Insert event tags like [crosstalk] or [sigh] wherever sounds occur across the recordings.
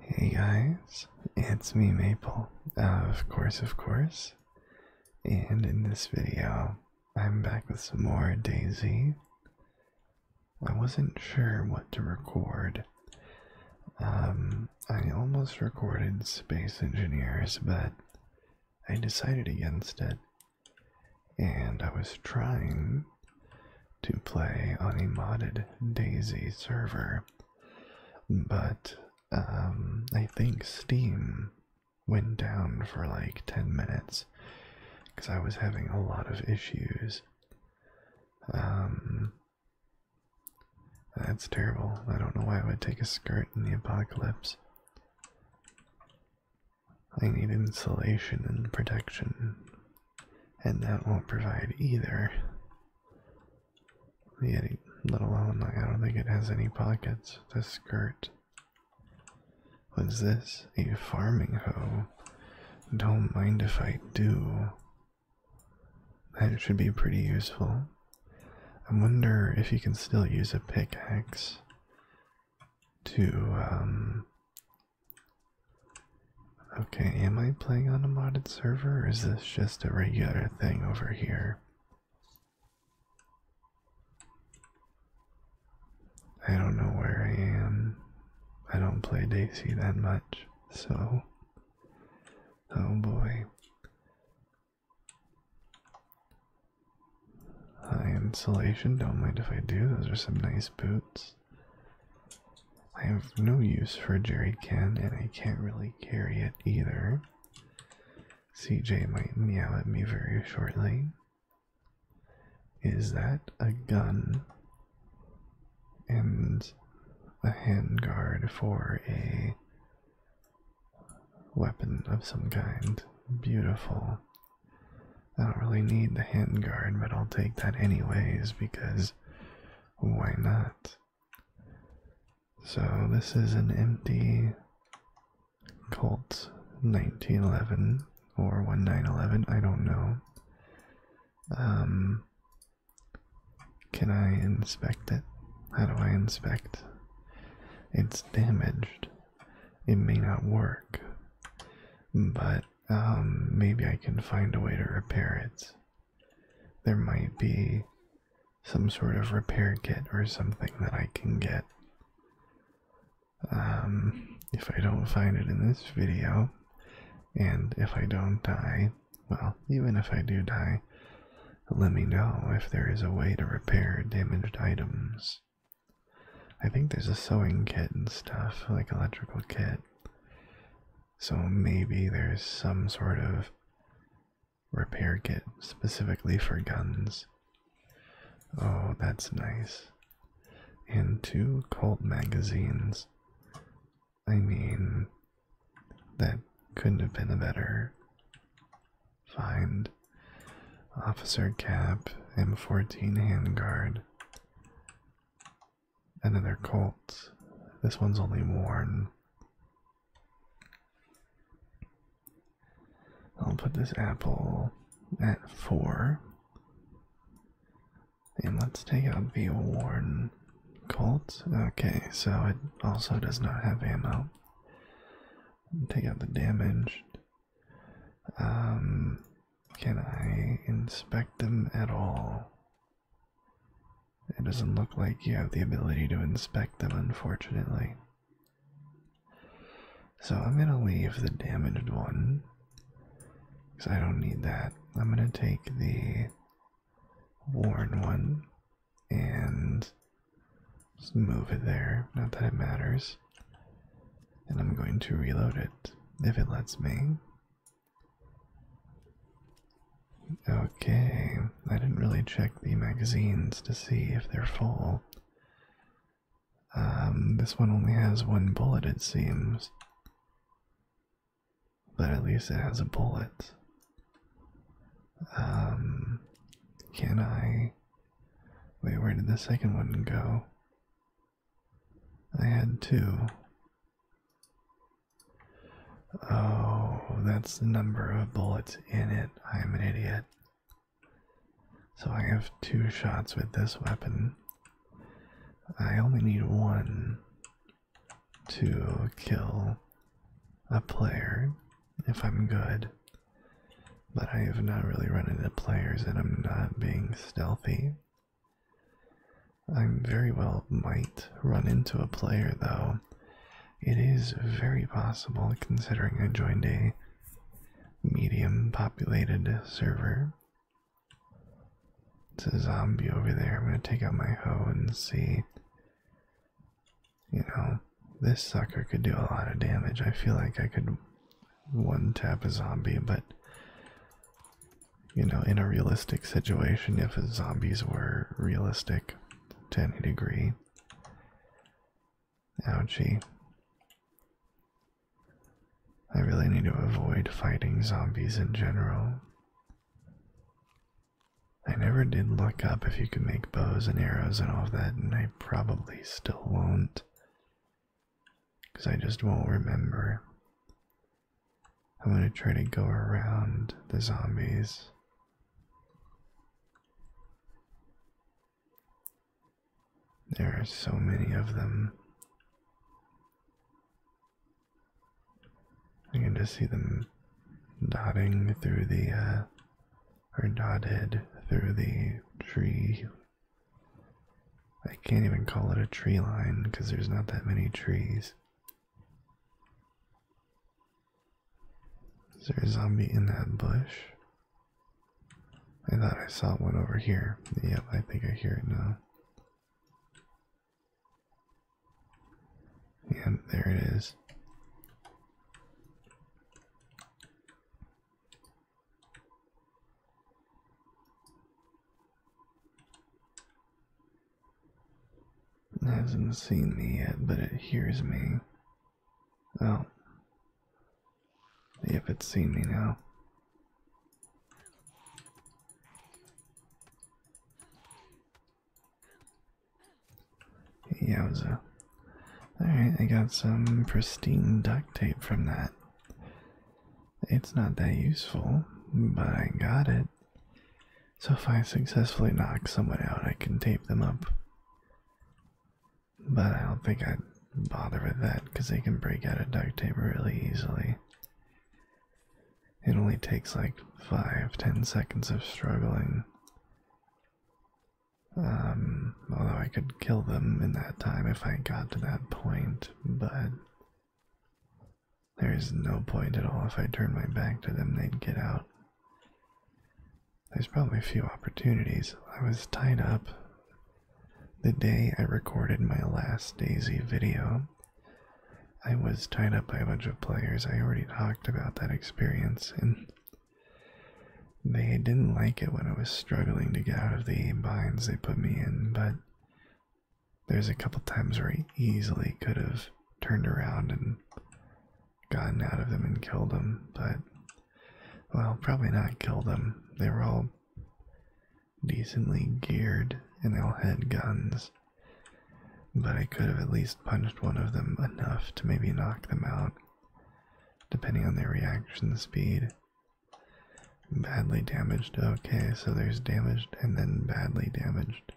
Hey guys, it's me Maple, uh, of course, of course, and in this video I'm back with some more Daisy, I wasn't sure what to record. Um, I almost recorded Space Engineers, but I decided against it. And I was trying to play on a modded Daisy server, but um, I think Steam went down for like 10 minutes because I was having a lot of issues. Um, that's terrible. I don't know why I would take a skirt in the apocalypse. I need insulation and protection, and that won't provide either. Yet, let alone, I don't think it has any pockets. The skirt. What's this? A farming hoe don't mind if I do. That should be pretty useful. I wonder if you can still use a pickaxe to, um. Okay, am I playing on a modded server or is this just a regular thing over here? I don't know where I am. I don't play Daisy that much, so. Oh boy. High uh, insulation, don't mind if I do. Those are some nice boots. I have no use for jerry Ken, and I can't really carry it either. CJ might meow at me very shortly. Is that a gun? and a handguard for a weapon of some kind. Beautiful. I don't really need the handguard, but I'll take that anyways because why not? So, this is an empty Colt 1911 or 1911, I don't know. Um, can I inspect it? How do I inspect? It's damaged. It may not work, but um, maybe I can find a way to repair it. There might be some sort of repair kit or something that I can get. Um, if I don't find it in this video, and if I don't die, well, even if I do die, let me know if there is a way to repair damaged items. I think there's a sewing kit and stuff, like electrical kit. So maybe there's some sort of repair kit specifically for guns. Oh, that's nice and two cult magazines. I mean, that couldn't have been a better find. Officer Cap, M14 handguard. and Another Colt. This one's only worn. I'll put this apple at four. And let's take out the Warden Colt. Okay, so it also does not have ammo. Take out the damaged. Um, can I inspect them at all? It doesn't look like you have the ability to inspect them, unfortunately. So I'm going to leave the damaged one. Because I don't need that. I'm going to take the worn one and just move it there. Not that it matters. And I'm going to reload it if it lets me. Okay, I didn't really check the magazines to see if they're full. Um, this one only has one bullet, it seems. But at least it has a bullet. Um, can I. Wait, where did the second one go? I had two. Oh, that's the number of bullets in it. I'm an idiot. So I have two shots with this weapon. I only need one to kill a player if I'm good. But I have not really run into players and I'm not being stealthy. I very well might run into a player though. It is very possible considering I joined a medium populated server it's a zombie over there. I'm going to take out my hoe and see. You know, this sucker could do a lot of damage. I feel like I could one tap a zombie, but. You know, in a realistic situation, if zombies were realistic to any degree. Ouchie. I really need to avoid fighting zombies in general. I never did look up if you could make bows and arrows and all of that, and I probably still won't. Because I just won't remember. I'm going to try to go around the zombies. There are so many of them. You can just see them dotting through the, uh, or dotted through the tree. I can't even call it a tree line because there's not that many trees. Is there a zombie in that bush? I thought I saw one over here. Yep, I think I hear it now. Yeah, there it is. It hasn't seen me yet, but it hears me. Oh. if it's seen me now. Yowza. Alright, I got some pristine duct tape from that. It's not that useful, but I got it. So if I successfully knock someone out, I can tape them up. But I don't think I'd bother with that because they can break out of duct tape really easily. It only takes like five, ten seconds of struggling. Um, although I could kill them in that time if I got to that point, but there is no point at all. If I turn my back to them, they'd get out. There's probably a few opportunities. I was tied up the day I recorded my last Daisy video. I was tied up by a bunch of players. I already talked about that experience, and they didn't like it when I was struggling to get out of the binds they put me in, but there's a couple times where I easily could have turned around and gotten out of them and killed them, but well, probably not killed them. They were all decently geared and they all had guns. But I could have at least punched one of them enough to maybe knock them out, depending on their reaction speed. Badly damaged, okay, so there's damaged and then badly damaged.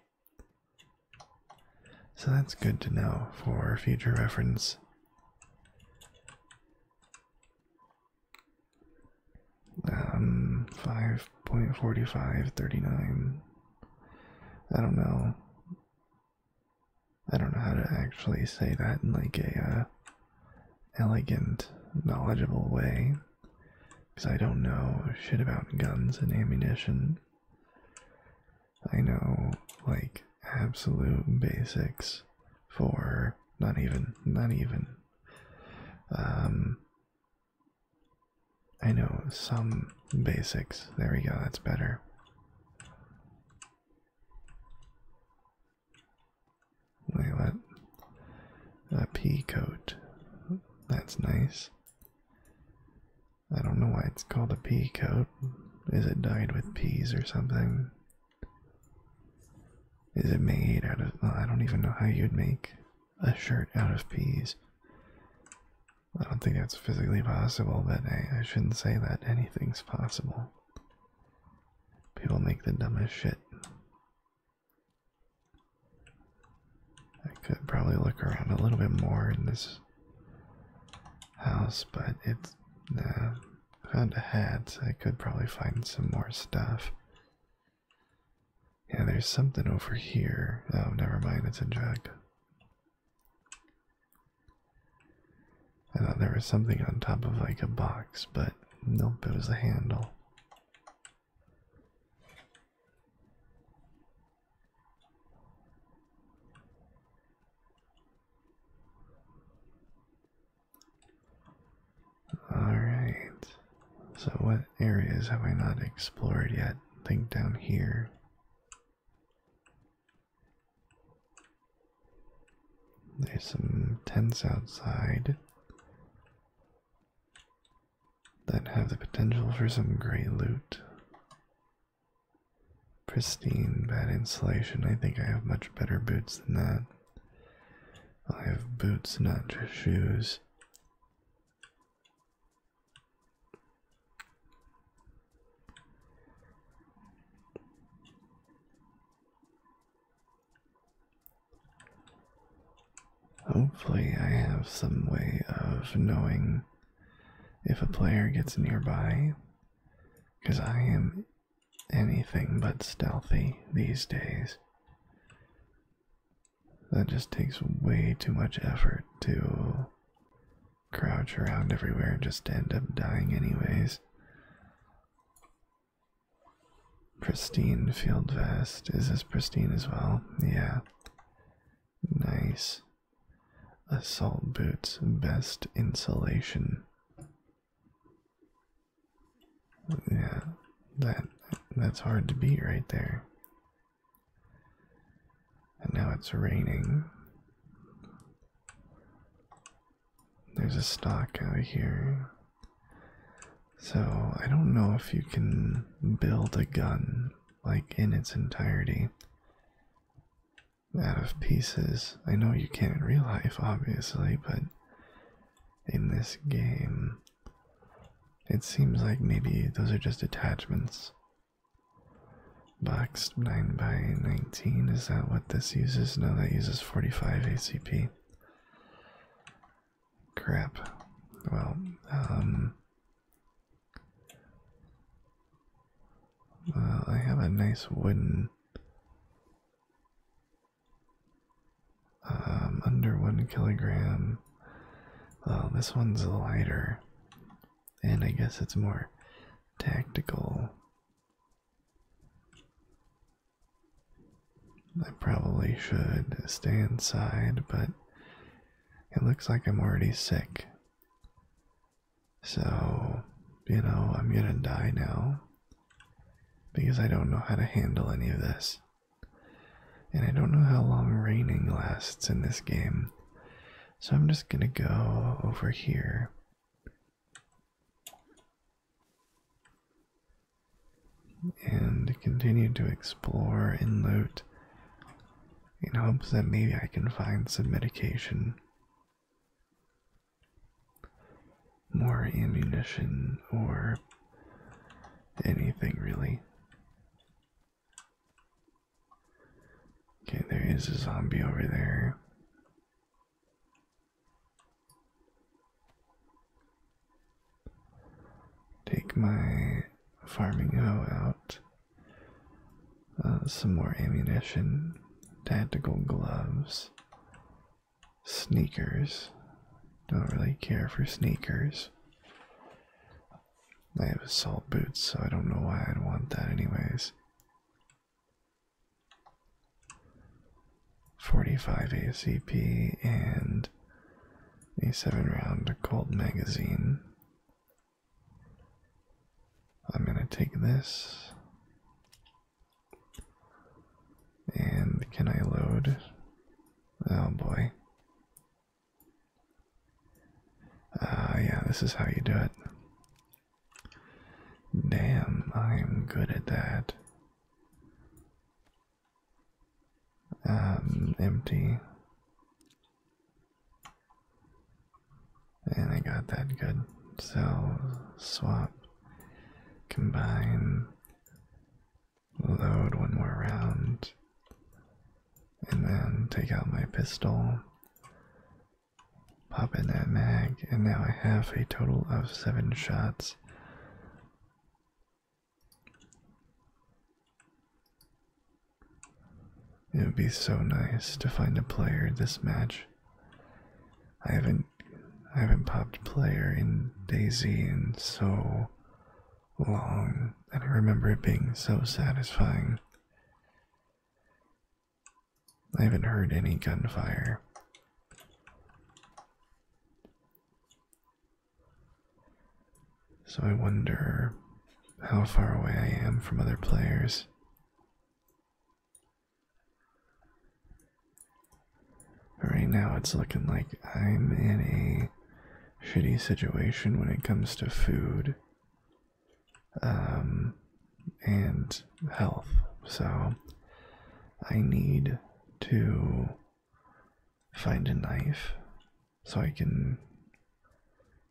So that's good to know for future reference. Um, 5.4539. I don't know. I don't know how to actually say that in like a uh, elegant, knowledgeable way. Because I don't know shit about guns and ammunition. I know like absolute basics for not even, not even. Um, I know some basics. There we go, that's better. Wait, what? A pea coat. That's nice. I don't know why it's called a pea coat. Is it dyed with peas or something? Is it made out of. Oh, I don't even know how you'd make a shirt out of peas. I don't think that's physically possible, but I shouldn't say that. Anything's possible. People make the dumbest shit. I could probably look around a little bit more in this house, but it's nah. Uh, found the hats. I could probably find some more stuff. Yeah, there's something over here. Oh, never mind, it's a jug. I thought there was something on top of like a box, but nope, it was a handle. Alright. So, what areas have I not explored yet? I think down here. There's some tents outside that have the potential for some great loot. Pristine, bad insulation. I think I have much better boots than that. I have boots, not just shoes. Hopefully, I have some way of knowing if a player gets nearby, because I am anything but stealthy these days. That just takes way too much effort to crouch around everywhere and just end up dying, anyways. Pristine field vest. Is as pristine as well? Yeah. Nice. Assault boots, best insulation. Yeah, that that's hard to beat right there. And now it's raining. There's a stock out here. So I don't know if you can build a gun like in its entirety out of pieces. I know you can in real life, obviously, but in this game, it seems like maybe those are just attachments. Box 9 by 19, is that what this uses? No, that uses 45 ACP. Crap. Well, um. Well, I have a nice wooden um, under one kilogram. Well, this one's lighter, and I guess it's more tactical. I probably should stay inside, but it looks like I'm already sick. So, you know, I'm gonna die now because I don't know how to handle any of this. And I don't know how long raining lasts in this game. So I'm just going to go over here. And continue to explore and loot in hopes that maybe I can find some medication, more ammunition, or anything really. Okay, there is a zombie over there. Take my farming hoe out. Uh, some more ammunition, tactical gloves, sneakers. Don't really care for sneakers. I have assault boots, so I don't know why I'd want that, anyways. 45 ACP and a 7 round Colt magazine. I'm gonna take this. And can I load? Oh boy. Ah, yeah, this is how you do it. Damn, I am good at that. Um, empty. And I got that good. So, swap, combine, load one more round, and then take out my pistol, pop in that mag, and now I have a total of seven shots. It would be so nice to find a player this match. I haven't I haven't popped player in Daisy and so long, and I remember it being so satisfying. I haven't heard any gunfire. So I wonder how far away I am from other players. Right now, it's looking like I'm in a shitty situation when it comes to food um, and health. So, I need to find a knife so I can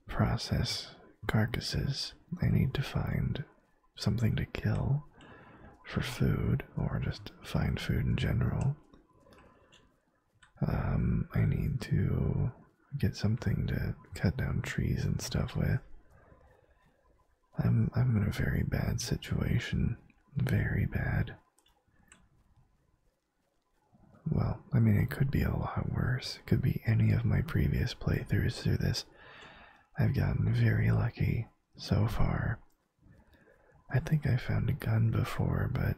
process carcasses. I need to find something to kill for food or just find food in general. Um, I need to get something to cut down trees and stuff with. I'm I'm in a very bad situation. Very bad. Well, I mean it could be a lot worse. It could be any of my previous playthroughs through this. I've gotten very lucky so far I think I found a gun before, but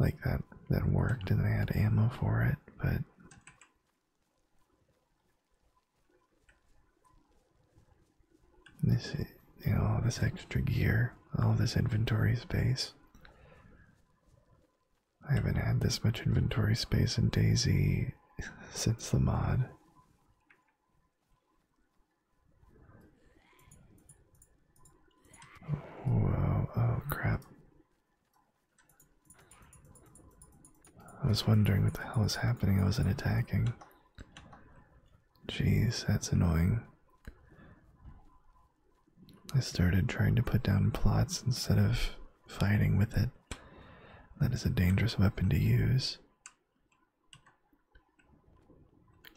like that that worked and I had ammo for it, but this you know this extra gear, all this inventory space. I haven't had this much inventory space in Daisy since the mod. Whoa, oh crap. I was wondering what the hell was happening. I wasn't attacking. Jeez, that's annoying. I started trying to put down plots instead of fighting with it. That is a dangerous weapon to use.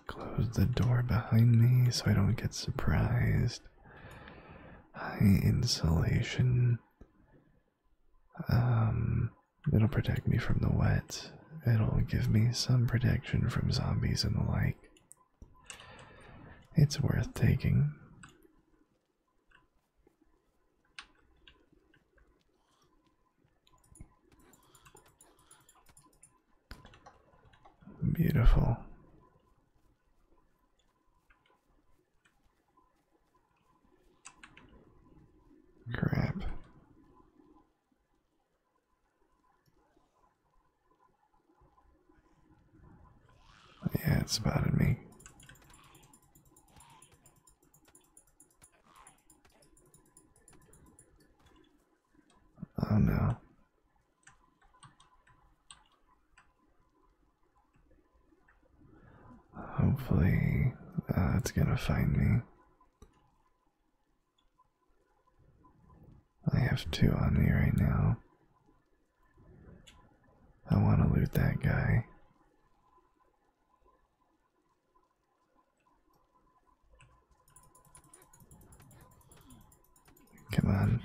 Close the door behind me so I don't get surprised. High insulation. Um, it'll protect me from the wet. It'll give me some protection from zombies and the like. It's worth taking. Beautiful. Crap. Yeah, it spotted me. Oh no. Hopefully, uh, it's gonna find me. I have two on me right now. I want to loot that guy. Come on.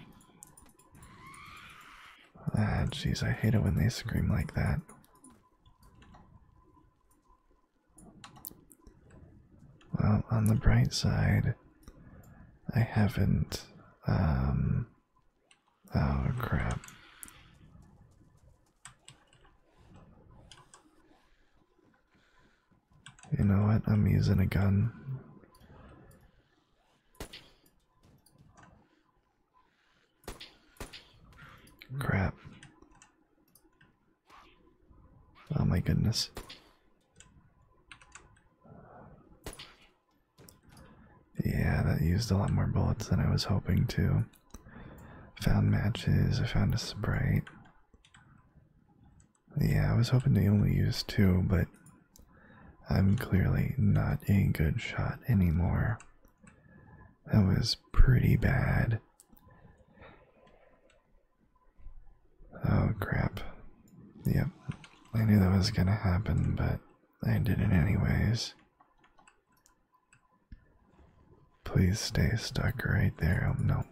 Ah, jeez, I hate it when they scream like that. Well, on the bright side, I haven't, um, oh crap. You know what? I'm using a gun. Crap. Oh my goodness. Yeah, that used a lot more bullets than I was hoping to. Found matches, I found a sprite. Yeah, I was hoping to only use two, but I'm clearly not a good shot anymore. That was pretty bad. Oh crap. Yep, I knew that was gonna happen, but I did it anyways. Please stay stuck right there. Oh no.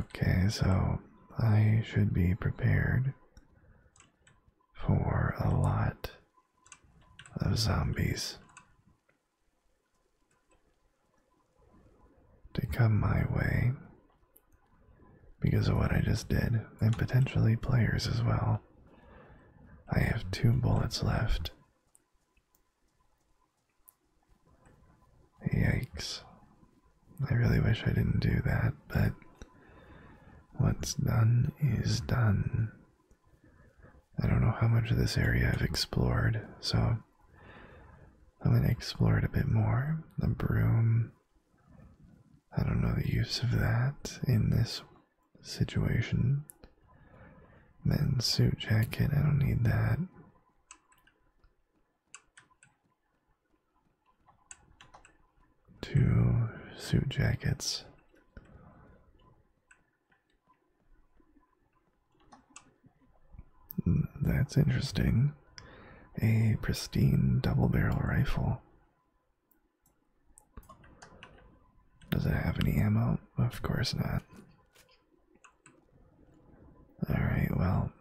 Okay, so I should be prepared for a lot of zombies to come my way because of what I just did, and potentially players as well. I have two bullets left. Yikes. I really wish I didn't do that, but what's done is done. I don't know how much of this area I've explored, so I'm going to explore it a bit more. The broom. I don't know the use of that in this situation. Men's suit jacket, I don't need that. Two suit jackets. Hmm, that's interesting. A pristine double barrel rifle. Does it have any ammo? Of course not. Alright, well.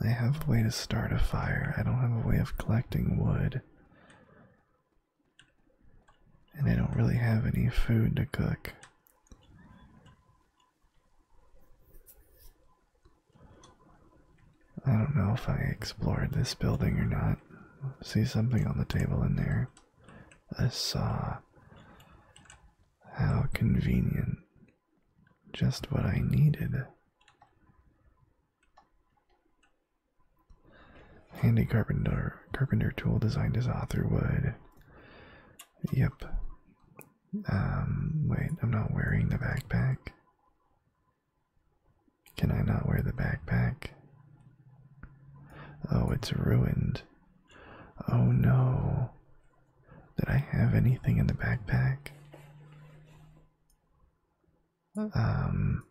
I have a way to start a fire. I don't have a way of collecting wood. And I don't really have any food to cook. I don't know if I explored this building or not. See something on the table in there. I saw. How convenient. Just what I needed. Handy carpenter carpenter tool designed as author would. Yep. Um, wait, I'm not wearing the backpack. Can I not wear the backpack? Oh, it's ruined. Oh no. Did I have anything in the backpack? Um,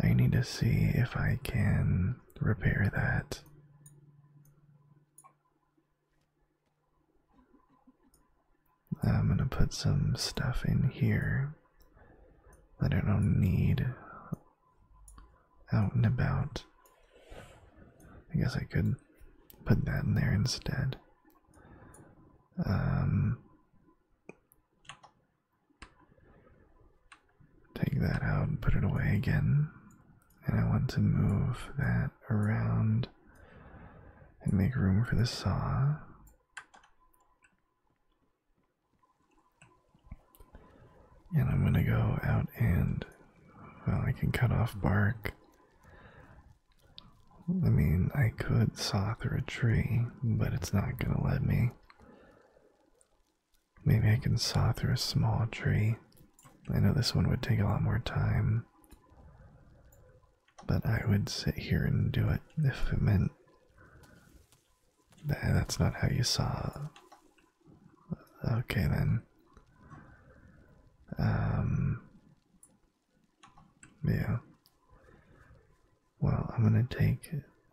I need to see if I can repair that. I'm going to put some stuff in here that I don't need out and about. I guess I could put that in there instead. Um, take that out and put it away again and I want to move that around and make room for the saw. And I'm gonna go out and, well, I can cut off bark. I mean, I could saw through a tree, but it's not gonna let me. Maybe I can saw through a small tree. I know this one would take a lot more time, but I would sit here and do it if it meant that that's not how you saw. Okay then. Um. Yeah. Well, I'm gonna take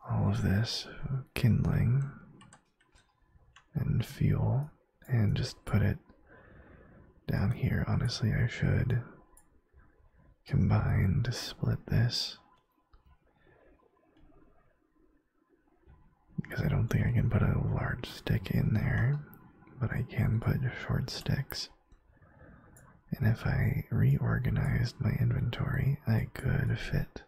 all of this kindling and fuel and just put it down here. Honestly, I should combine to split this. Because I don't think I can put a large stick in there, but I can put short sticks. And if I reorganized my inventory, I could fit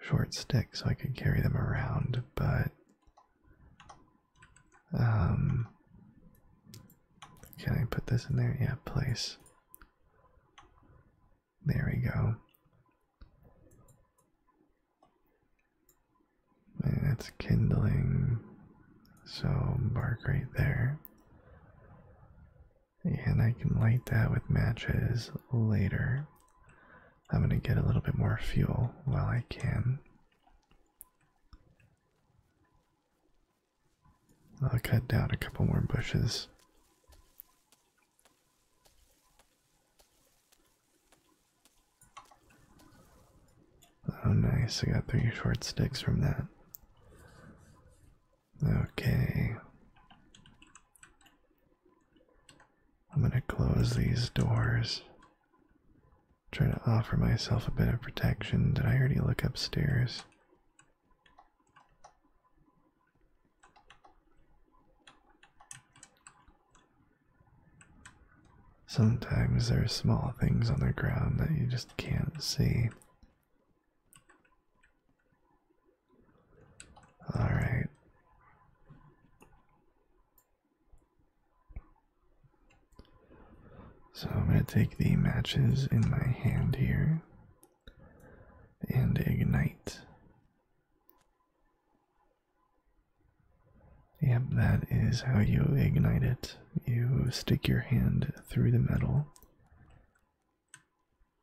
short sticks so I could carry them around, but um, can I put this in there? Yeah, please. There we go. And it's kindling. So bark right there. And I can light that with matches later. I'm going to get a little bit more fuel while I can. I'll cut down a couple more bushes. Oh, nice. I got three short sticks from that. Okay. I'm going to close these doors. Try to offer myself a bit of protection. Did I already look upstairs? Sometimes there are small things on the ground that you just can't see. Alright. So I'm going to take the matches in my hand here and ignite. Yep, that is how you ignite it. You stick your hand through the metal.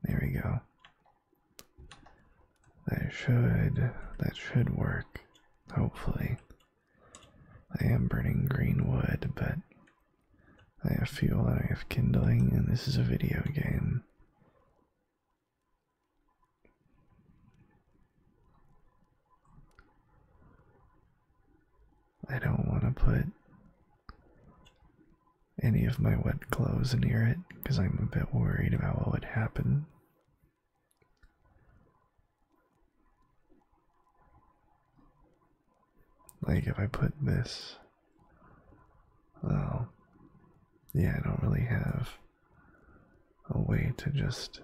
There we go. That should that should work, hopefully. I am burning green wood, but I have fuel and I have kindling, and this is a video game. I don't want to put any of my wet clothes near it because I'm a bit worried about what would happen. Like if I put this, oh, yeah, I don't really have a way to just.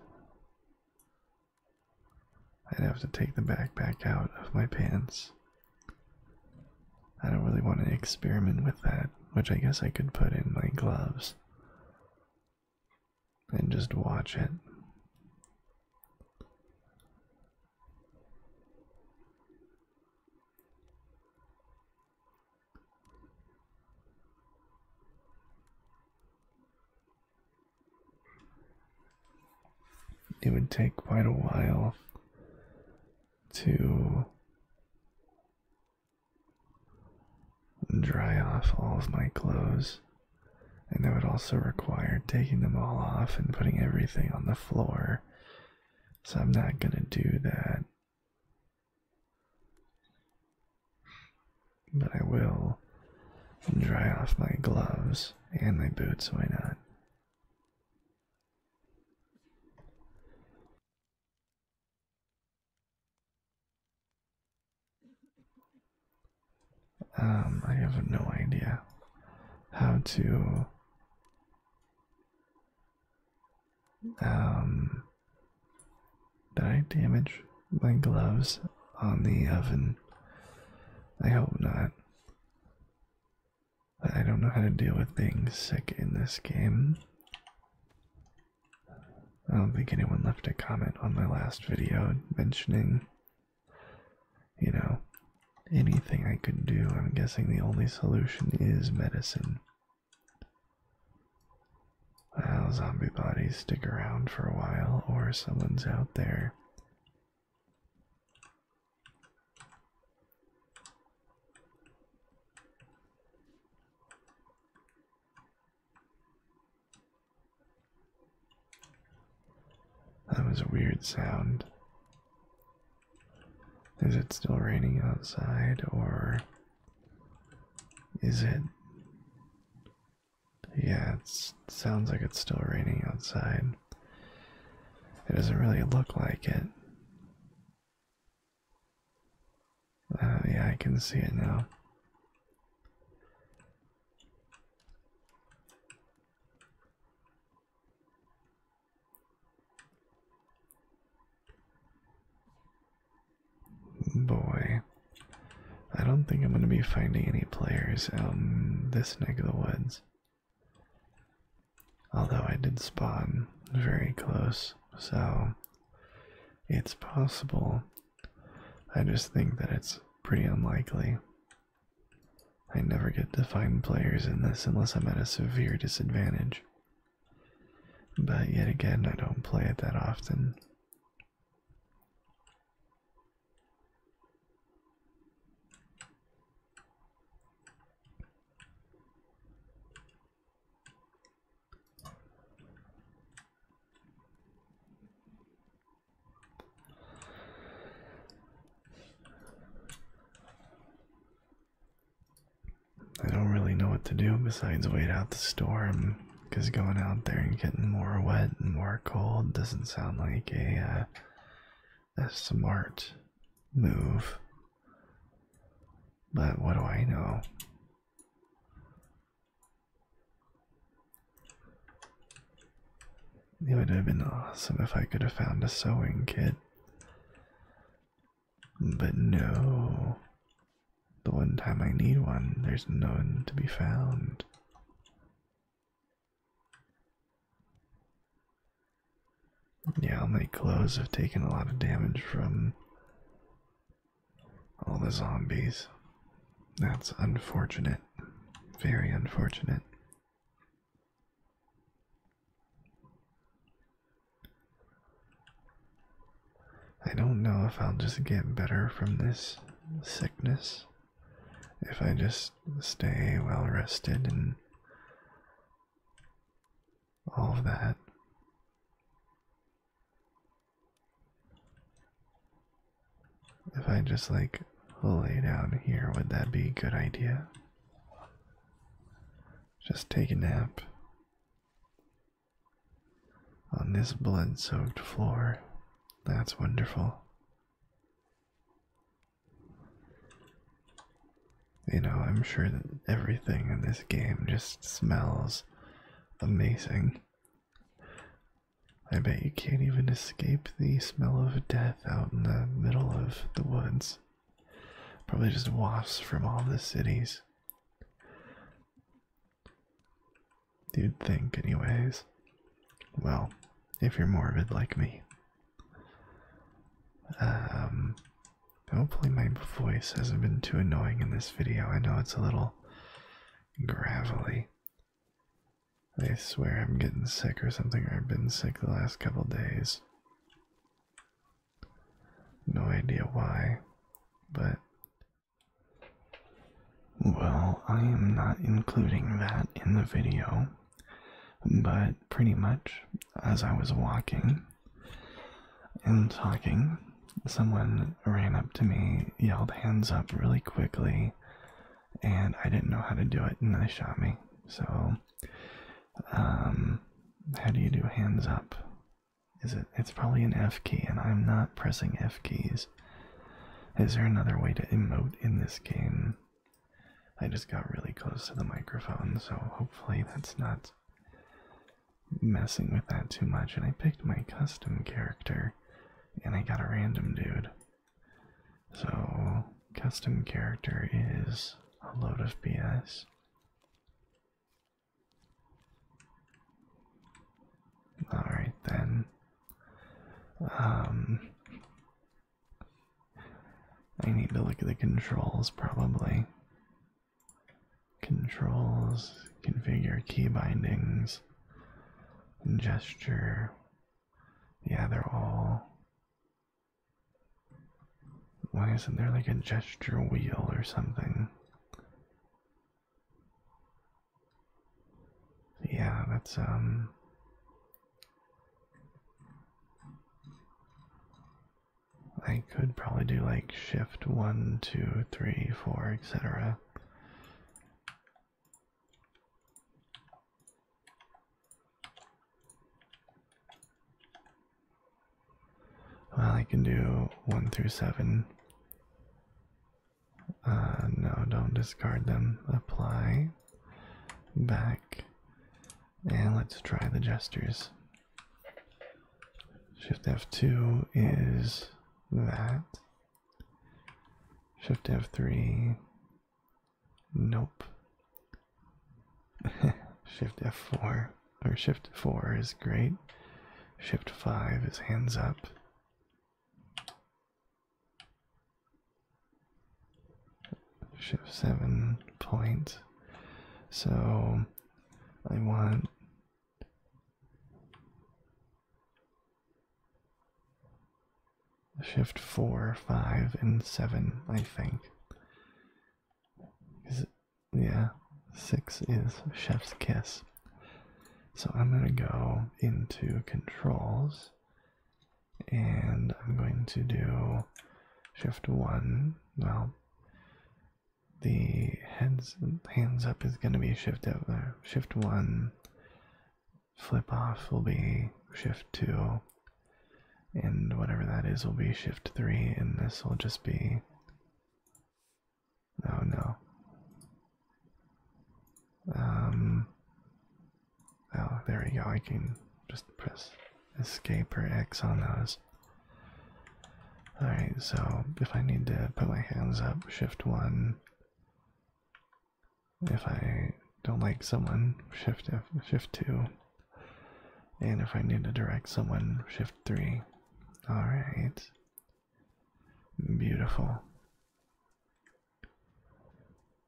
I'd have to take the backpack out of my pants. I don't really want to experiment with that, which I guess I could put in my gloves and just watch it. It would take quite a while to dry off all of my clothes, and that would also require taking them all off and putting everything on the floor. So I'm not going to do that. But I will dry off my gloves and my boots, why not? Um, I have no idea how to um did I damage my gloves on the oven? I hope not. I don't know how to deal with things sick in this game. I don't think anyone left a comment on my last video mentioning, you know, anything I could do. I'm guessing the only solution is medicine. Well, zombie bodies stick around for a while, or someone's out there. That was a weird sound. Is it still raining outside, or is it? Yeah, it sounds like it's still raining outside. It doesn't really look like it. Oh, yeah, I can see it now. Boy, I don't think I'm going to be finding any players out in this neck of the woods. Although I did spawn very close, so it's possible I just think that it's pretty unlikely. I never get to find players in this unless I'm at a severe disadvantage. But yet again, I don't play it that often. I don't really know what to do besides wait out the storm because going out there and getting more wet and more cold doesn't sound like a, uh, a smart move. But what do I know? It would have been awesome if I could have found a sewing kit. But no. The one time I need one, there's none to be found. Yeah, my clothes have taken a lot of damage from all the zombies. That's unfortunate. Very unfortunate. I don't know if I'll just get better from this sickness if I just stay well rested and all of that. If I just like lay down here, would that be a good idea? Just take a nap on this blood soaked floor. That's wonderful. You know, I'm sure that everything in this game just smells amazing. I bet you can't even escape the smell of death out in the middle of the woods. Probably just wafts from all the cities. You'd think, anyways. Well, if you're morbid like me. Um, hopefully my voice hasn't been too annoying in this video. I know it's a little gravelly. I swear I'm getting sick or something, or I've been sick the last couple days. No idea why, but well, I am not including that in the video, but pretty much as I was walking and talking, someone ran up to me, yelled hands up really quickly, and I didn't know how to do it, and they shot me. So, um, how do you do hands up? Is it? It's probably an F key, and I'm not pressing F keys. Is there another way to emote in this game? I just got really close to the microphone, so hopefully that's not messing with that too much. And I picked my custom character and I got a random dude. So, custom character is a load of BS. Alright then. Um, I need to look at the controls probably. Controls, configure key bindings gesture. Yeah, they're all. Why isn't there like a gesture wheel or something? Yeah, that's, um. I could probably do like shift one, two, three, four, etc. Well, I can do one through seven. Uh, no, don't discard them. Apply. Back. And let's try the gestures. Shift F2 is that. Shift F3. Nope. [laughs] Shift F4 or Shift 4 is great. Shift 5 is hands up. Shift 7 point. So I want Shift 4, 5, and 7, I think. Is it, yeah, 6 is Chef's Kiss. So I'm going to go into controls and I'm going to do shift 1. Well, the heads hands up is going to be shift uh, shift 1 flip off will be shift 2, and whatever that is will be shift 3, and this will just be. Oh no. Um. Oh, there we go. I can just press escape or X on those. Alright, so if I need to put my hands up, shift 1, if I don't like someone, shift F, shift two. And if I need to direct someone, shift three. All right. Beautiful.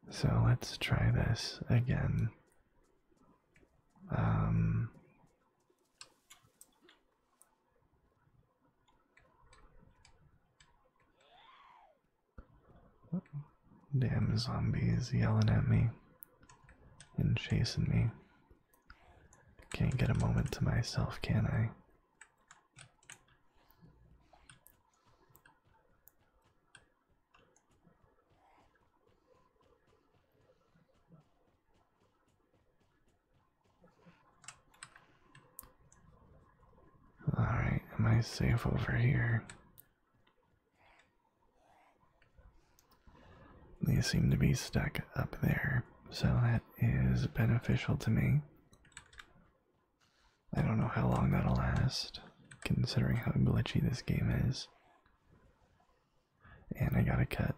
So let's try this again. Um, Damn zombies yelling at me and chasing me. Can't get a moment to myself, can I? Alright, am I safe over here? They seem to be stuck up there, so that is beneficial to me. I don't know how long that'll last, considering how glitchy this game is. And I got a cut.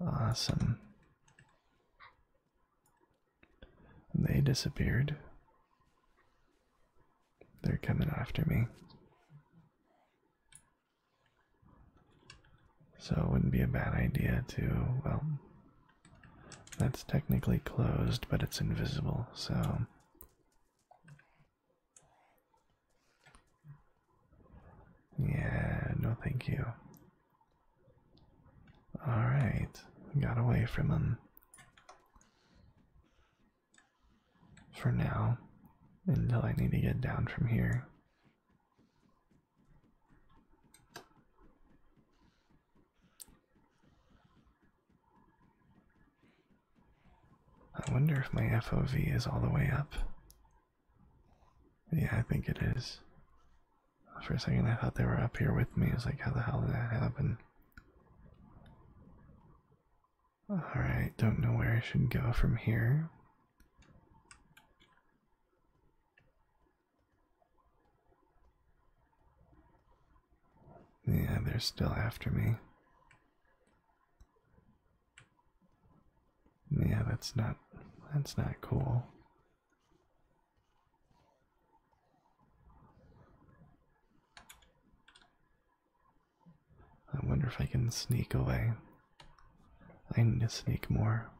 Awesome. They disappeared. They're coming after me. So it wouldn't be a bad idea to, well, that's technically closed, but it's invisible, so. Yeah, no, thank you. Alright, got away from him. For now, until I need to get down from here. I wonder if my FOV is all the way up. Yeah, I think it is. For a second, I thought they were up here with me. It's like, how the hell did that happen? Alright, don't know where I should go from here. Yeah, they're still after me. Yeah, that's not that's not cool. I wonder if I can sneak away. I need to sneak more.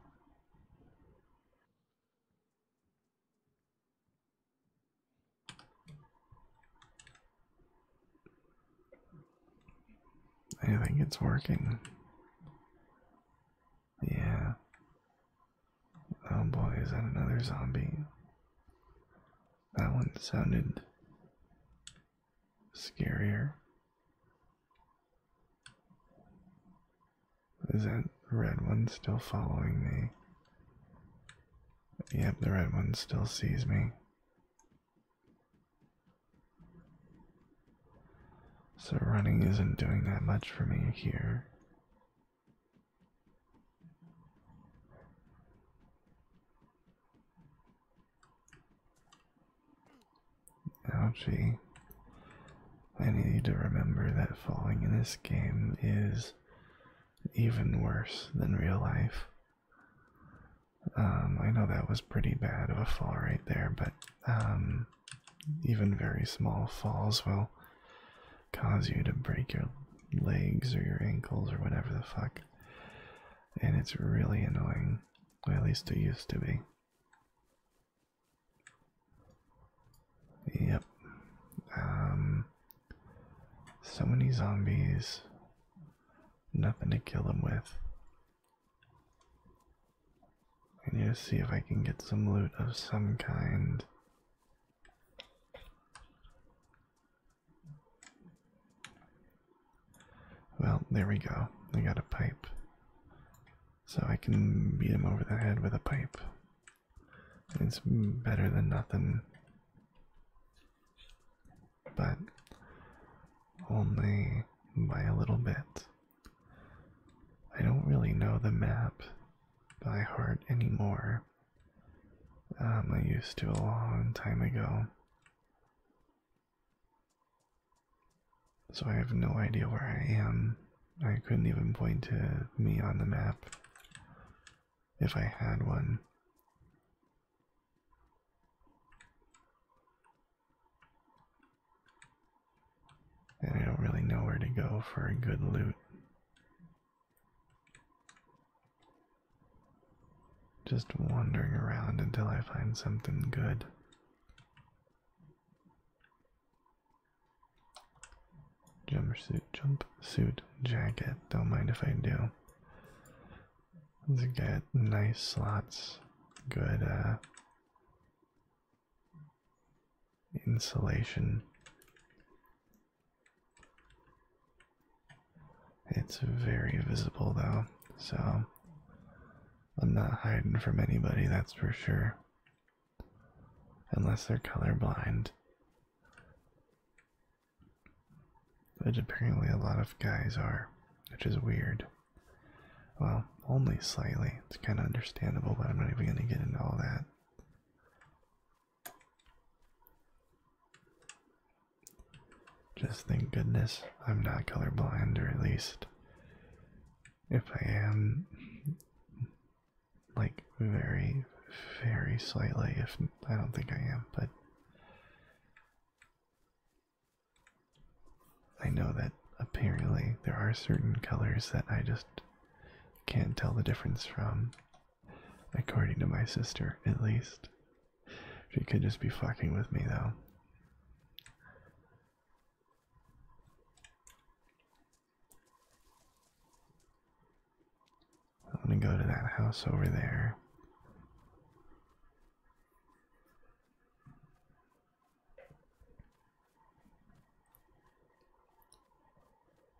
I think it's working. Yeah. Oh boy, is that another zombie? That one sounded scarier. Is that red one still following me? Yep, the red one still sees me. So running isn't doing that much for me here. Ouchie. I need to remember that falling in this game is even worse than real life. Um, I know that was pretty bad of a fall right there, but um, even very small falls will cause you to break your legs or your ankles or whatever the fuck. And it's really annoying. Well, at least it used to be. Yep. Um, so many zombies. Nothing to kill them with. I need to see if I can get some loot of some kind. Well, there we go. I got a pipe. So I can beat him over the head with a pipe. It's better than nothing. But only by a little bit. I don't really know the map by heart anymore. Um, I used to a long time ago. So I have no idea where I am. I couldn't even point to me on the map if I had one. And I don't really know where to go for a good loot. Just wandering around until I find something good. Jumper suit, Jumpsuit, suit, jacket. Don't mind if I do. Let's get nice slots, good uh, insulation. It's very visible though, so I'm not hiding from anybody, that's for sure. Unless they're color blind, But apparently, a lot of guys are, which is weird. Well, only slightly. It's kind of understandable, but I'm not even going to get into all that. Just thank goodness I'm not colorblind, or at least if I am, like very, very slightly. If I don't think I am, but I know that apparently there are certain colors that I just can't tell the difference from, according to my sister, at least. She could just be fucking with me, though. I'm gonna go to that house over there.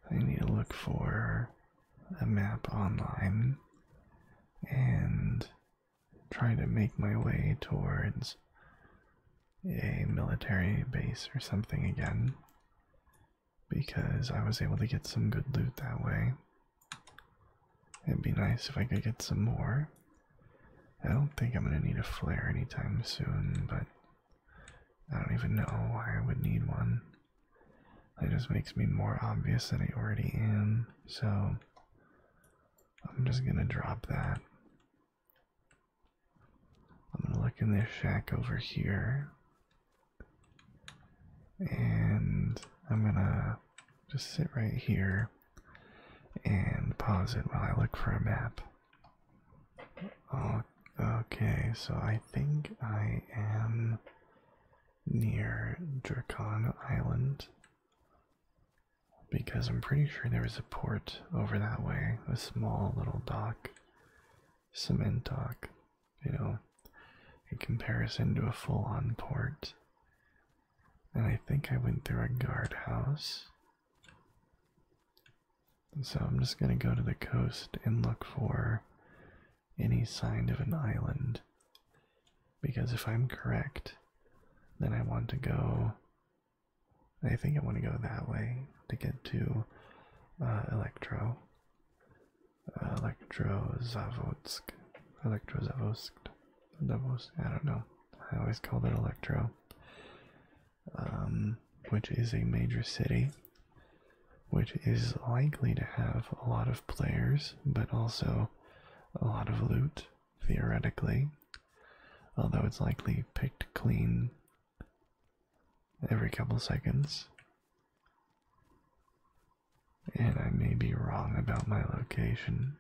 I need to look for a map online and try to make my way towards a military base or something again because I was able to get some good loot that way. It'd be nice if I could get some more. I don't think I'm going to need a flare anytime soon, but I don't even know why I would need one. It just makes me more obvious than I already am, so I'm just going to drop that. I'm going to look in this shack over here. And I'm gonna just sit right here and pause it while I look for a map. Oh, okay, so I think I am near Dracon Island because I'm pretty sure there was a port over that way, a small little dock, cement dock, you know, in comparison to a full on port. And I think I went through a guardhouse. So I'm just going to go to the coast and look for any sign of an island. Because if I'm correct, then I want to go. I think I want to go that way to get to uh, Electro. Uh, Elektrozavodsk. Elektrozavodsk. I don't know. I always call it Electro um, which is a major city, which is likely to have a lot of players, but also a lot of loot, theoretically. Although it's likely picked clean every couple seconds. And I may be wrong about my location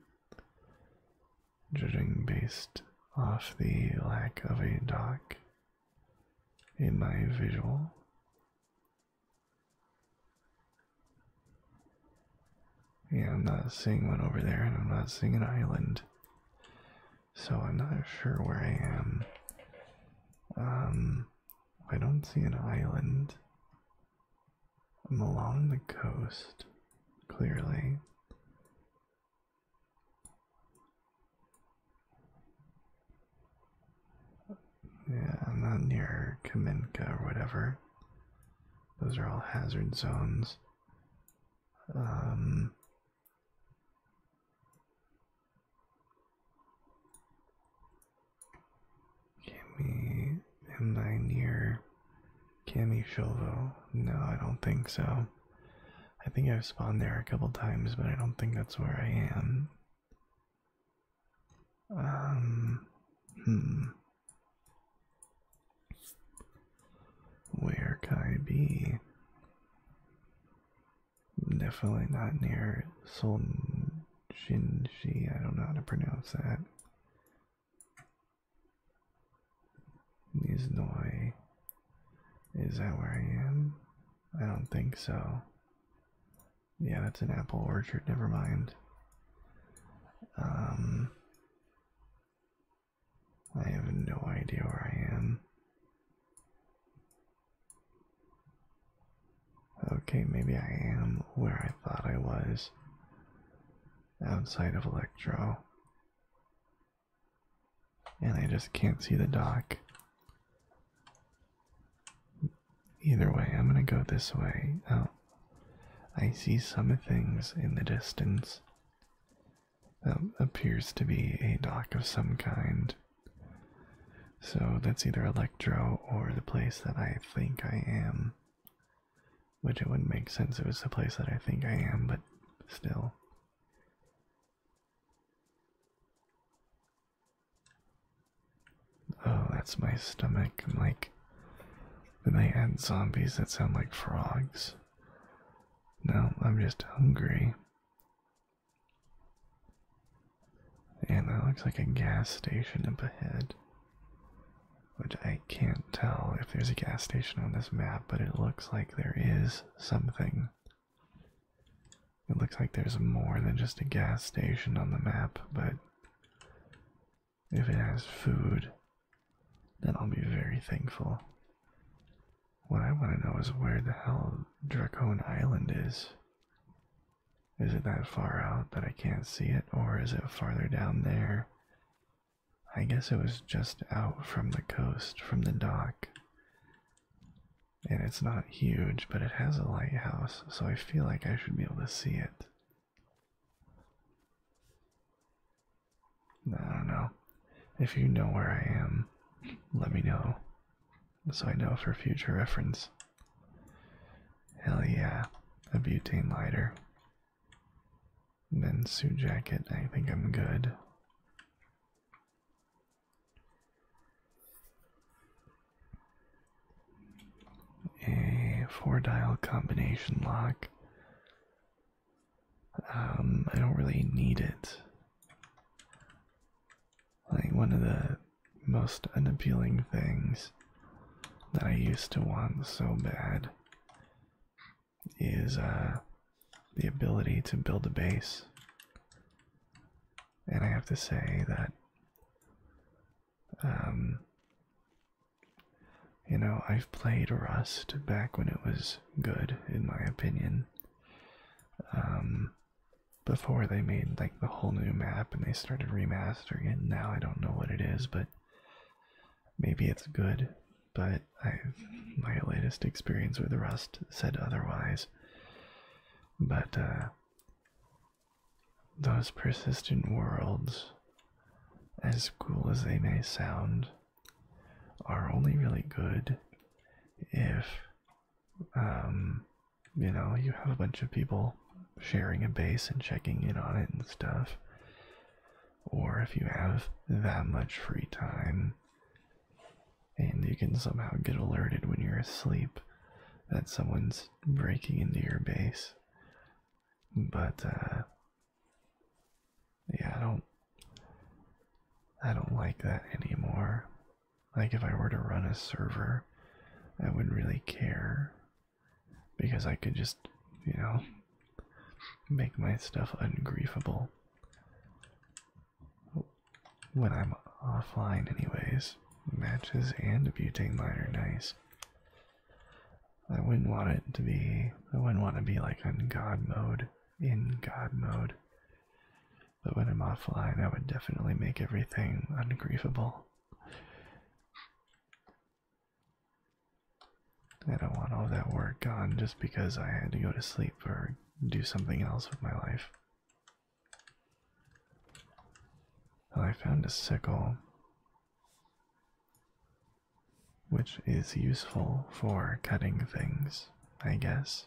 judging based off the lack of a dock in my visual. Yeah, I'm not seeing one over there, and I'm not seeing an island. So I'm not sure where I am. Um, I don't see an island. along the coast, clearly. Yeah, I'm not near Kaminka or whatever. Those are all hazard zones. Give um, me. Am I near Cami Shilvo. No, I don't think so. I think I've spawned there a couple times, but I don't think that's where I am. Um, hmm. Where can I be? Definitely not near Solnjinshi. I don't know how to pronounce that. These Noi. Is that where I am? I don't think so. Yeah, that's an apple orchard, never mind. Um I have no idea where I am. Okay, maybe I am where I thought I was. Outside of Electro. And I just can't see the dock. Either way, I'm gonna go this way. Oh, I see some things in the distance. That appears to be a dock of some kind. So that's either Electro or the place that I think I am. Which it wouldn't make sense if it's the place that I think I am, but still. Oh, that's my stomach. I'm like, then they add zombies that sound like frogs. No, I'm just hungry. And that looks like a gas station up ahead. Which I can't tell if there's a gas station on this map, but it looks like there is something. It looks like there's more than just a gas station on the map, but if it has food, then I'll be very thankful. What I want to know is where the hell Dracone Island is. Is it that far out that I can't see it, or is it farther down there I guess it was just out from the coast, from the dock. And it's not huge, but it has a lighthouse, so I feel like I should be able to see it. I don't know. If you know where I am, let me know. So I know for future reference. Hell yeah, a butane lighter then suit jacket, I think I'm good. A four dial combination lock. Um, I don't really need it. Like one of the most unappealing things that I used to want so bad is uh, the ability to build a base. And I have to say that, um, you know, I've played Rust back when it was good, in my opinion. Um, before they made like the whole new map and they started remastering it, now I don't know what it is, but maybe it's good but my latest experience with Rust said otherwise. But uh, those persistent worlds, as cool as they may sound, are only really good if, um, you know, you have a bunch of people sharing a base and checking in on it and stuff or if you have that much free time and you can somehow get alerted when you're asleep that someone's breaking into your base. But uh, yeah, I don't I don't like that anymore. Like if I were to run a server, I wouldn't really care because I could just, you know, make my stuff ungriefable when I'm offline, anyways. Matches and butane light are nice. I wouldn't want it to be. I wouldn't want to be like in God mode, in God mode. But when I'm offline, I would definitely make everything ungriefable. I don't want all that work gone just because I had to go to sleep or do something else with my life. I found a sickle, which is useful for cutting things, I guess.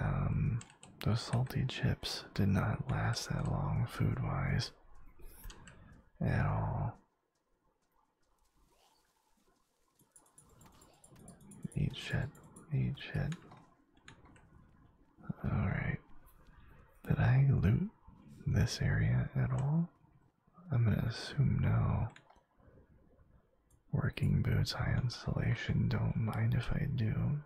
Um, those salty chips did not last that long food wise at all. Eat shit. Eat shit. Alright. Did I loot this area at all? I'm gonna assume no. Working boots, high insulation, don't mind if I do.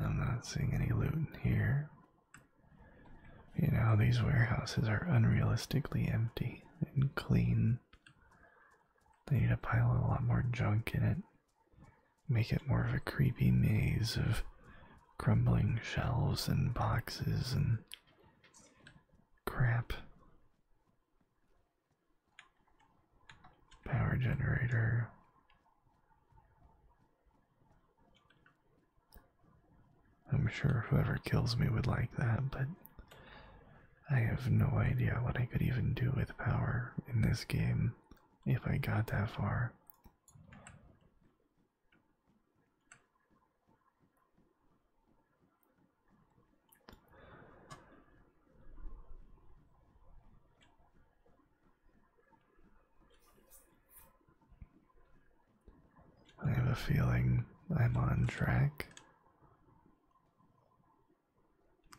I'm not seeing any loot in here. You know, these warehouses are unrealistically empty and clean. They need to pile a lot more junk in it, make it more of a creepy maze of crumbling shelves and boxes and crap. Power generator. I'm sure whoever kills me would like that, but I have no idea what I could even do with power in this game if I got that far. I have a feeling I'm on track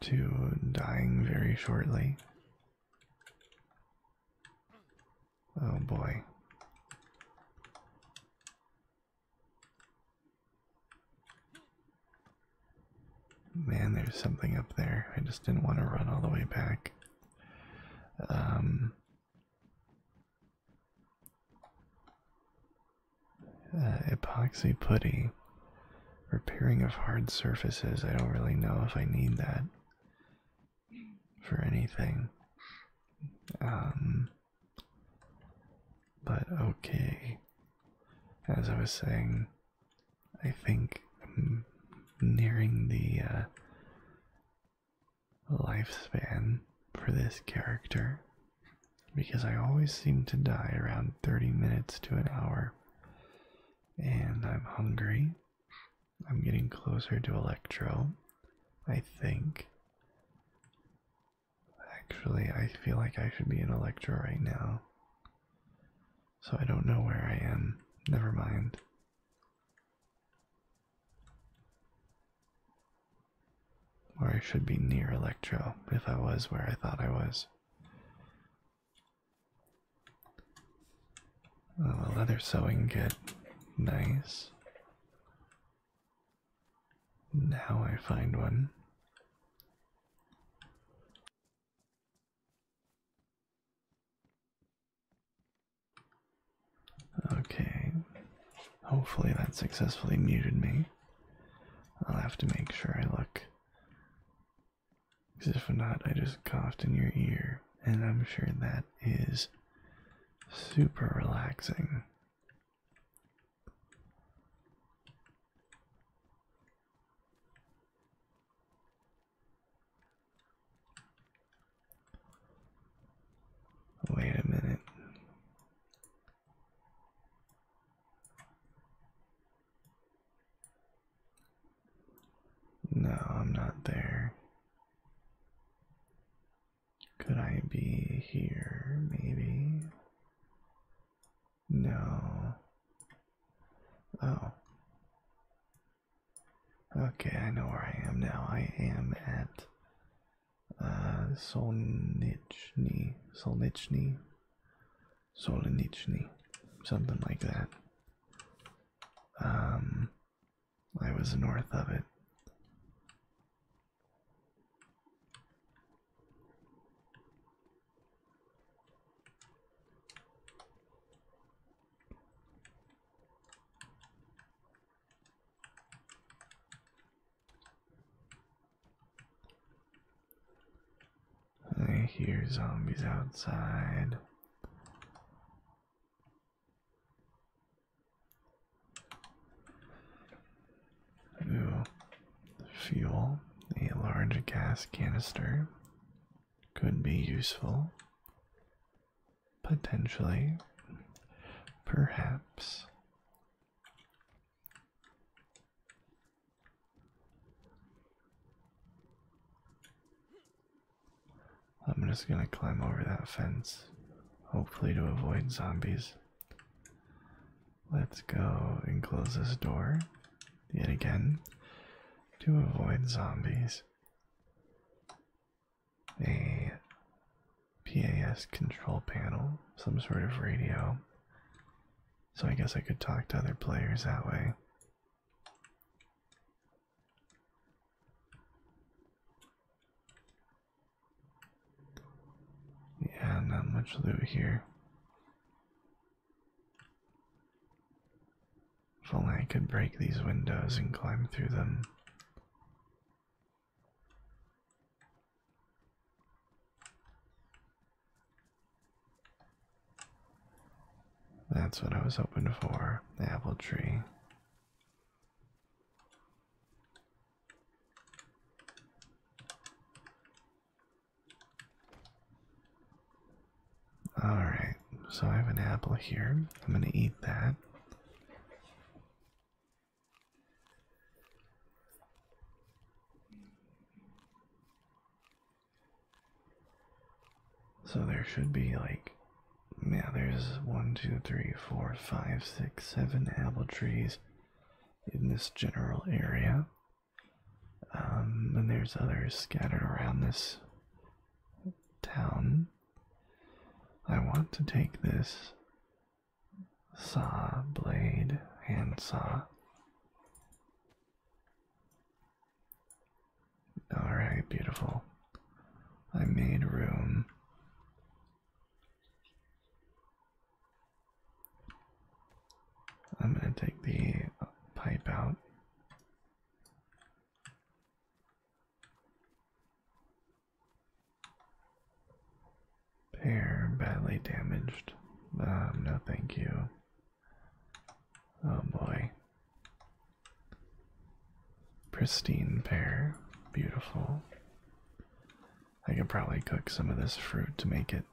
to dying very shortly. Oh boy. Man, there's something up there. I just didn't want to run all the way back. Um, uh, epoxy putty. Repairing of hard surfaces. I don't really know if I need that for anything. Um, but okay, as I was saying, I think I'm nearing the uh, lifespan for this character because I always seem to die around 30 minutes to an hour. And I'm hungry, I'm getting closer to Electro, I think. Actually, I feel like I should be in Electro right now. So I don't know where I am. Never mind. Or I should be near Electro if I was where I thought I was. Oh, the leather sewing kit. Nice. Now I find one. Okay. Hopefully that successfully muted me. I'll have to make sure I look. Because if not, I just coughed in your ear, and I'm sure that is super relaxing. Wait a minute. No, I'm not there. Could I be here, maybe? No. Oh. Okay, I know where I am now. I am at uh, Solnichny. Solnichny. Solnichny. Something like that. Um, I was north of it. I hear zombies outside to fuel a large gas canister could be useful potentially perhaps I'm just gonna climb over that fence, hopefully, to avoid zombies. Let's go and close this door yet again to avoid zombies. A PAS control panel, some sort of radio. So I guess I could talk to other players that way. Yeah, not much loot here. If only I could break these windows and climb through them. That's what I was hoping for, the apple tree. Alright, so I have an apple here. I'm going to eat that. So there should be like yeah, there's one, two, three, four, five, six, seven apple trees in this general area. Um, and there's others scattered around this town. I want to take this saw, blade, handsaw. Alright, beautiful. I made room. I'm going to take the pipe out. Pair badly damaged. Um, no, thank you. Oh boy. Pristine pear, beautiful. I could probably cook some of this fruit to make it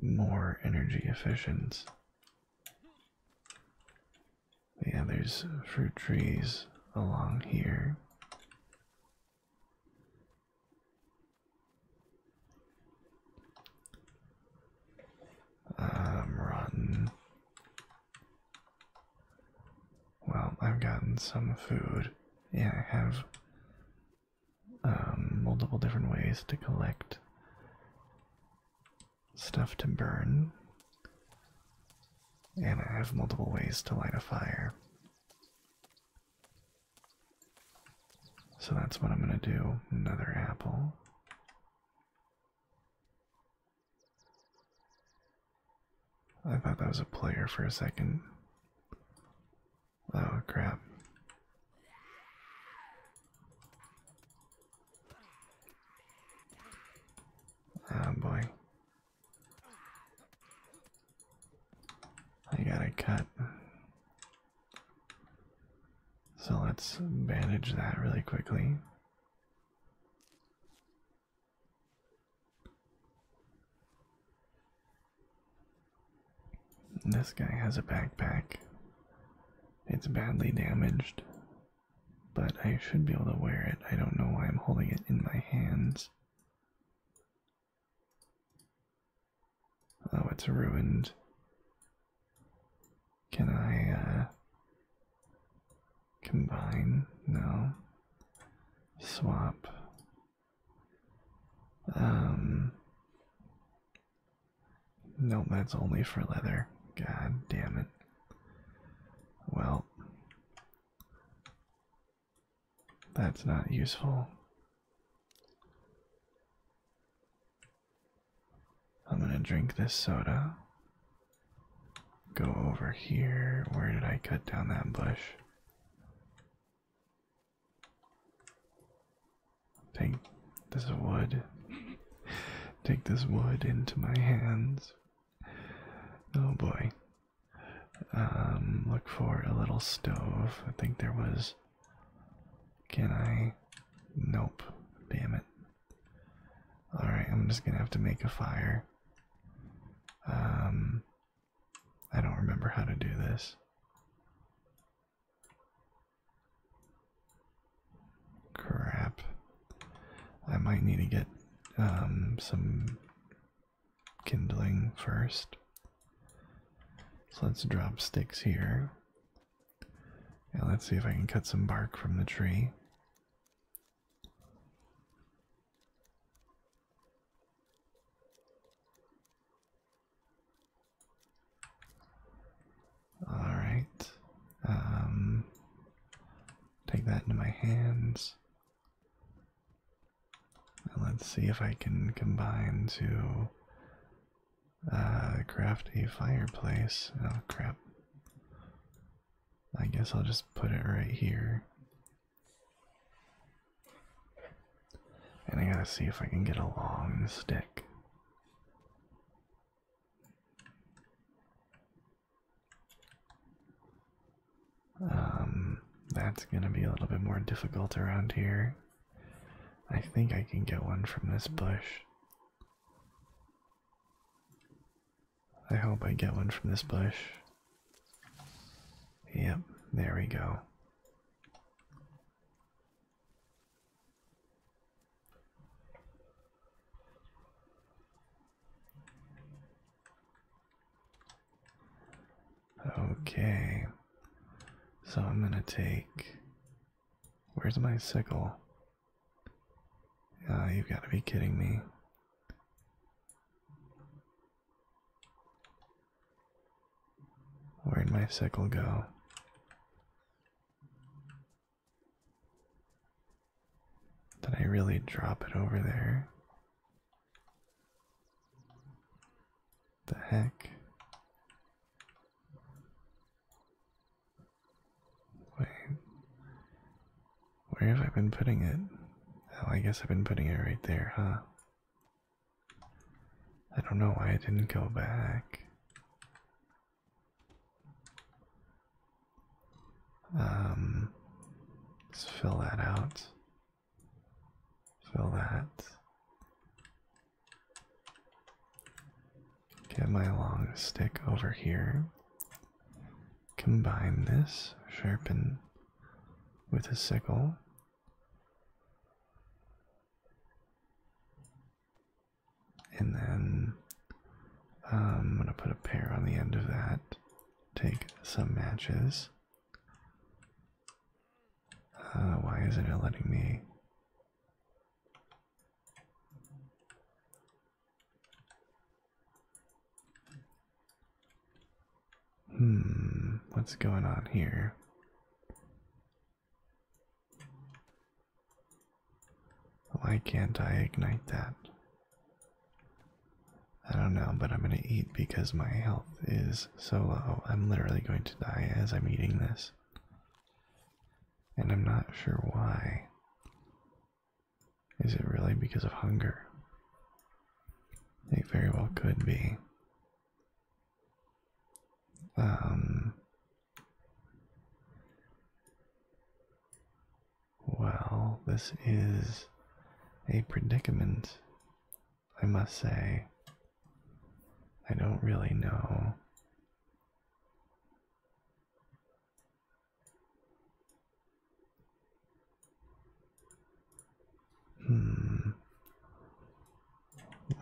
more energy efficient. Yeah, there's fruit trees along here. Um, rotten. Well, I've gotten some food. Yeah, I have um, multiple different ways to collect stuff to burn. And I have multiple ways to light a fire. So that's what I'm going to do. Another apple. I thought that was a player for a second. Oh crap. Oh boy. I gotta cut. So let's bandage that really quickly. This guy has a backpack. It's badly damaged, but I should be able to wear it. I don't know why I'm holding it in my hands. Oh, it's ruined. Can I, uh, Combine? No. Swap. Um. Nope, that's only for leather. God damn it. Well, that's not useful. I'm gonna drink this soda. Go over here. Where did I cut down that bush? Take this wood. Take this wood into my hands. Oh boy. Um, look for a little stove. I think there was. Can I? Nope. Damn it. Alright, I'm just gonna have to make a fire. Um, I don't remember how to do this. Crap. I might need to get um, some kindling first. So let's drop sticks here. And let's see if I can cut some bark from the tree. All right. Um, take that into my hands. let's see if I can combine to uh, craft a fireplace. Oh crap. I guess I'll just put it right here. And I gotta see if I can get a long stick. Um, that's gonna be a little bit more difficult around here. I think I can get one from this bush. I hope I get one from this bush. Yep, there we go. Okay, so I'm gonna take. Where's my sickle? Ah, you've got to be kidding me. Where'd my sickle go? Did I really drop it over there? The heck? Wait. Where have I been putting it? Oh, I guess I've been putting it right there, huh? I don't know why I didn't go back. Um, let fill that out. Fill that. Get my long stick over here combine this, sharpen with a sickle. And then um, I'm going to put a pair on the end of that. Take some matches. Uh, why isn't it letting me? Hmm, what's going on here? Why can't I ignite that? I don't know, but I'm gonna eat because my health is so low. I'm literally going to die as I'm eating this. And I'm not sure why. Is it really because of hunger? It very well could be. Um. Well, this is a predicament, I must say. I don't really know Hmm.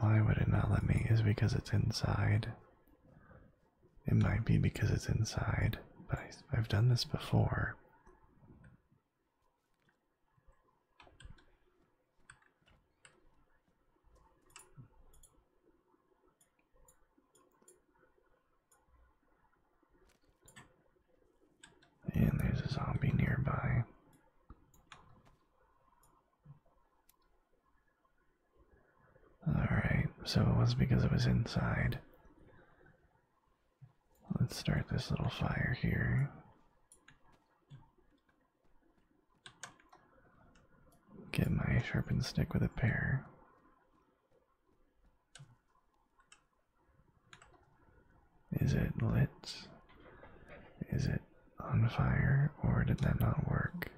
Why would it not let me? Is because it's inside? It might be because it's inside, but I've done this before. And there's a zombie nearby. Alright, so it was because it was inside. Let's start this little fire here. Get my sharpened stick with a pair. Is it lit? Is it on fire or did that not work?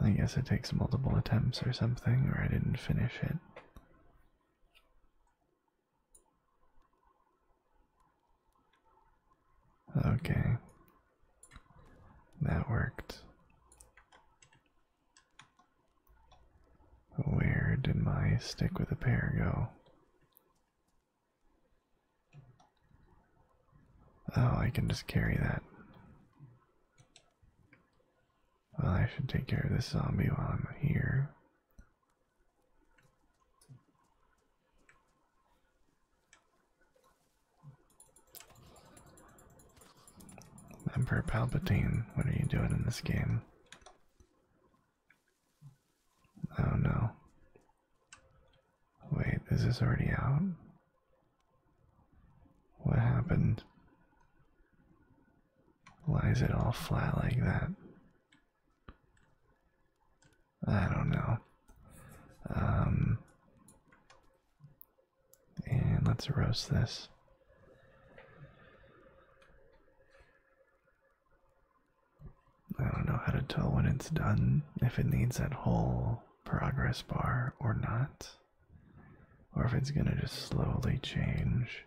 I guess it takes multiple attempts or something, or I didn't finish it. Okay. That worked. Where did my stick with a pear go? Oh, I can just carry that. Well, I should take care of this zombie while I'm here. Emperor Palpatine, what are you doing in this game? Oh no. Wait, is this already out? What happened? Why is it all flat like that? I don't know. Um, and let's roast this. I don't know how to tell when it's done, if it needs that whole progress bar or not, or if it's going to just slowly change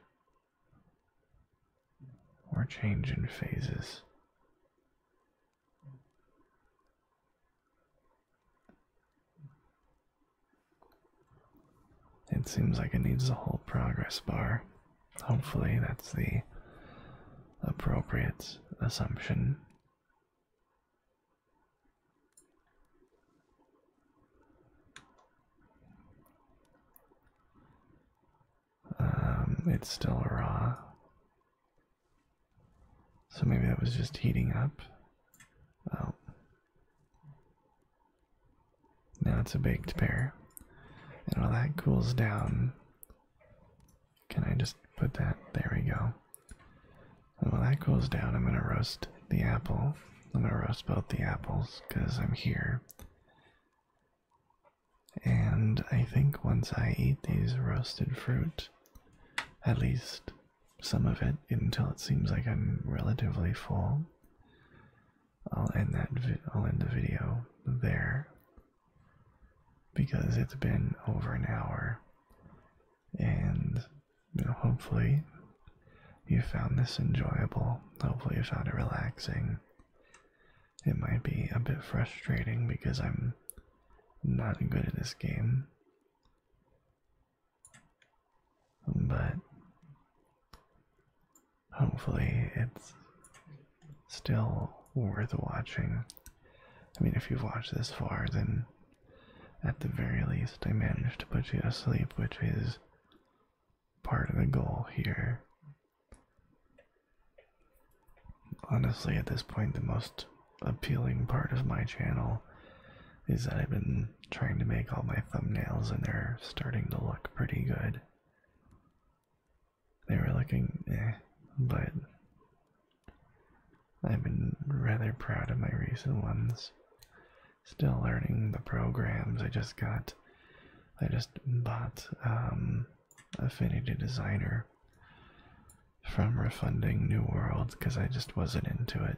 or change in phases. It seems like it needs a whole progress bar. Hopefully, that's the appropriate assumption. Um, it's still raw. So maybe that was just heating up. Oh. Now it's a baked pear. And while that cools down, can I just put that? There we go. And while that cools down, I'm going to roast the apple. I'm going to roast both the apples because I'm here. And I think once I eat these roasted fruit, at least some of it, until it seems like I'm relatively full, I'll end that. I'll end the video there because it's been over an hour, and hopefully you found this enjoyable. Hopefully you found it relaxing. It might be a bit frustrating because I'm not good at this game. But hopefully it's still worth watching. I mean, if you've watched this far, then at the very least I managed to put you to sleep, which is part of the goal here. Honestly, at this point, the most appealing part of my channel is that I've been trying to make all my thumbnails and they're starting to look pretty good. They were looking eh, but I've been rather proud of my recent ones. Still learning the programs. I just got, I just bought um, Affinity Designer from refunding New World because I just wasn't into it.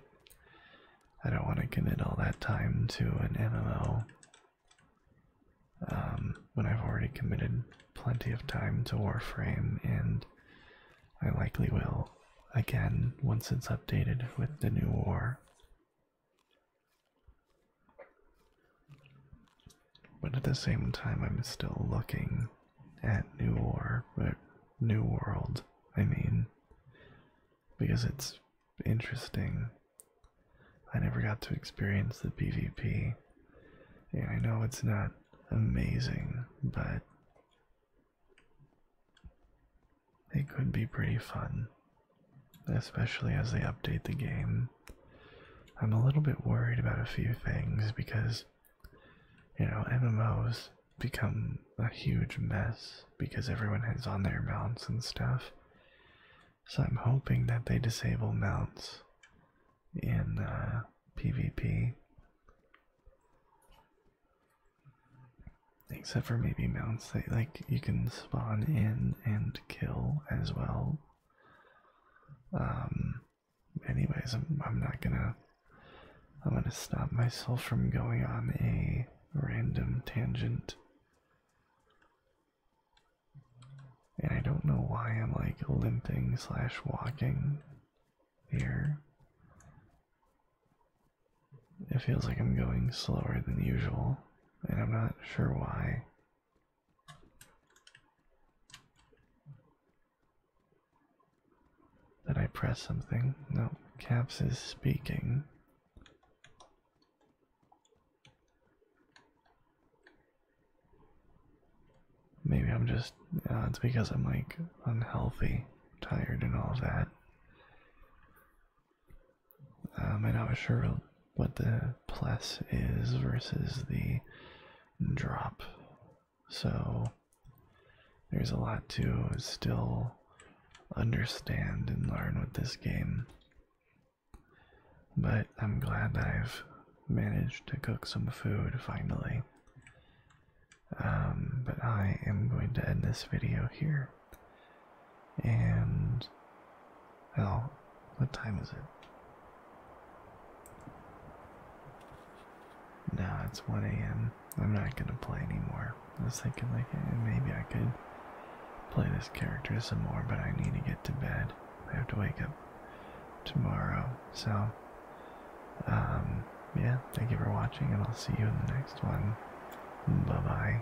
I don't want to commit all that time to an MMO um, when I've already committed plenty of time to Warframe, and I likely will again once it's updated with the new war but at the same time, I'm still looking at New War, but New World, I mean, because it's interesting. I never got to experience the PvP, and I know it's not amazing, but it could be pretty fun, especially as they update the game. I'm a little bit worried about a few things because, you know, MMOs become a huge mess because everyone has on their mounts and stuff. So I'm hoping that they disable mounts in PvP. Uh, Except for maybe mounts that, like, you can spawn in and kill as well. Um, anyways, I'm, I'm not gonna. I'm gonna stop myself from going on a random tangent. And I don't know why I'm like limping slash walking here. It feels like I'm going slower than usual, and I'm not sure why. Did I press something? No, Caps is speaking. Maybe I'm just, uh, it's because I'm like unhealthy, tired, and all of that. Um, I'm not sure what the plus is versus the drop. So there's a lot to still understand and learn with this game. But I'm glad that I've managed to cook some food finally. Um, but I am going to end this video here. And I'll what time is it? No, it's 1 a.m. I'm not gonna play anymore. I was thinking, like, eh, maybe I could play this character some more, but I need to get to bed. I have to wake up tomorrow. So, um, yeah, thank you for watching, and I'll see you in the next one. Bye bye.